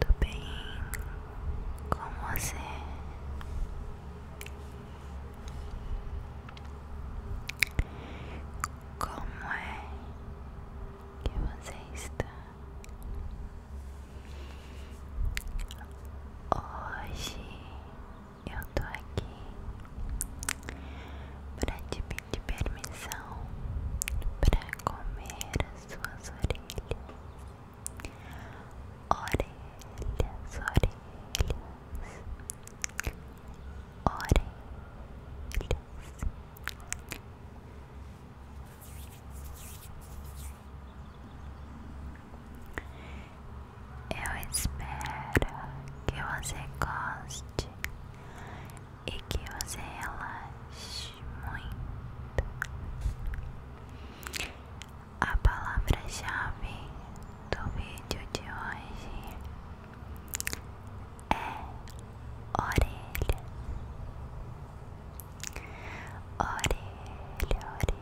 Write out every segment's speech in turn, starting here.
Tudo bem com você? Como é que você está hoje? eu tô aqui pra te pedir permissão pra comer as suas orelhas. Orelhas, orelhas, orelhas. Eu espero que você goste e que você relaxe muito. A palavra-chave do vídeo de hoje é orelha. Orelha, orelha.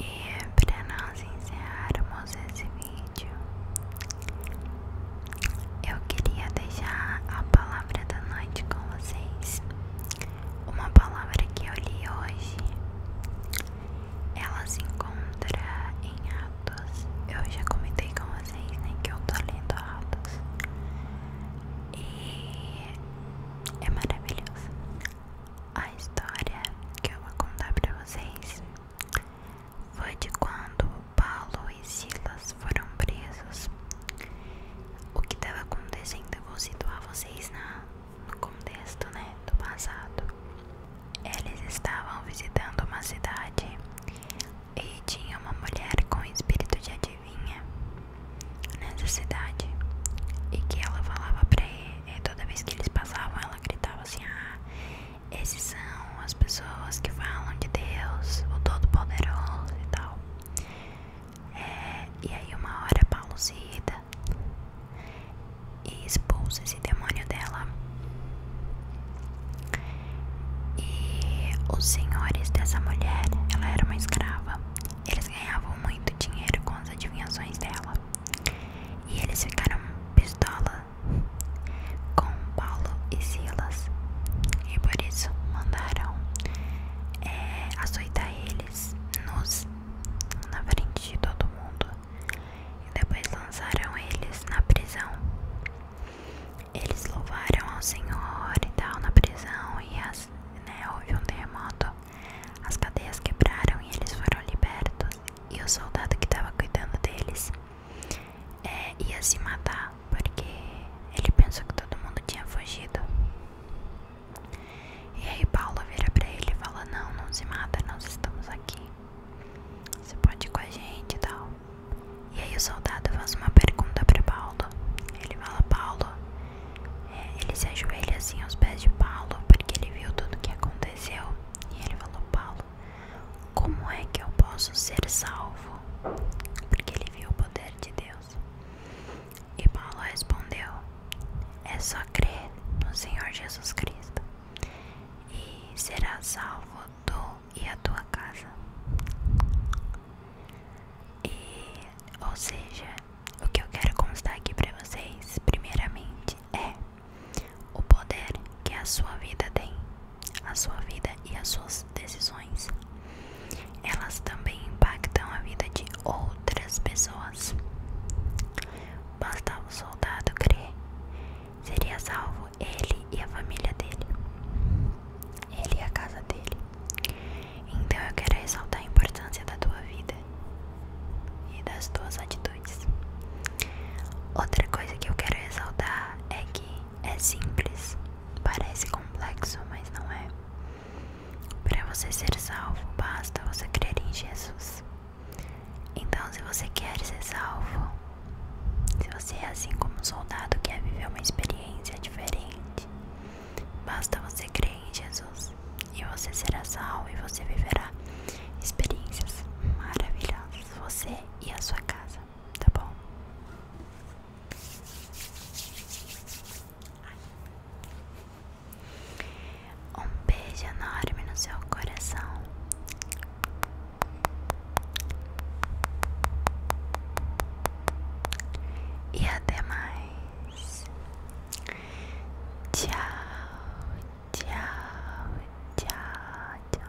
E para nós encerrarmos esse vídeo, eu queria deixar a palavra da noite com vocês. Uma palavra que eu li hoje, ela se encontra em Atos. Eu já comentei com vocês, né, que eu tô lendo Atos. E é maravilhoso. A história que eu vou contar pra vocês foi de quando Paulo e Silas foram presos. O que estava acontecendo, é eu vou situar vocês no contexto né, do passado. Eles estavam visitando uma cidade e tinha uma mulher com espírito de adivinha nessa cidade. E que ela falava para ele, toda vez que eles passavam, ela gritava assim: Ah, esses são as pessoas pessoas que falam de Deus, o Todo-Poderoso e tal. É, e aí uma hora Paulo se irrita e expulsa esse demônio dela. E os senhores dessa mulher, ela era uma escrava, eles ganhavam muito dinheiro com as adivinhações dela. E eles ficaram pistola com Paulo e Silas e por isso mandaram é, açoitar eles nos, na frente de todo mundo e depois lançaram eles na prisão. Eles louvaram ao Senhor e tal na prisão e as, né, houve um terremoto, as cadeias quebraram e eles foram libertos. E o soldado que estava cuidando deles é, ia se matar porque ele pensou que todo mundo tinha fugido. E aí Paulo vira pra ele e fala, não, não se mata, nós estamos aqui. Você pode ir com a gente e tal. E aí o soldado faz uma pergunta pra Paulo. Ele fala, Paulo, é, ele se ajoelha assim aos pés de Paulo porque ele viu tudo o que aconteceu. E ele falou, Paulo, como é que eu posso ser salvo? Porque ele viu o poder de Deus. E Paulo respondeu: É só crer no Senhor Jesus Cristo e serás salvo tu e a tua casa. E, ou seja, o que eu quero constar aqui para vocês, primeiramente, é o poder que a sua vida tem a sua vida e as suas decisões. Elas também impactam a vida de outras pessoas. Basta o soldado crer, seria salvo ele e a família dele, ele e a casa dele. Então eu quero ressaltar a importância da tua vida e das tuas atitudes. Outra coisa que eu quero ressaltar é que é simples, parece complexo, mas não é. Para você ser salvo, basta você crer em Jesus. Então, se você quer ser salvo, se você é assim como um soldado quer viver uma experiência diferente, basta você crer em Jesus e você será salvo e você viverá experiências maravilhosas. Você e a sua casa, tá bom? Um beijo enorme no seu coração. E até mais. Tchau, tchau, tchau, tchau.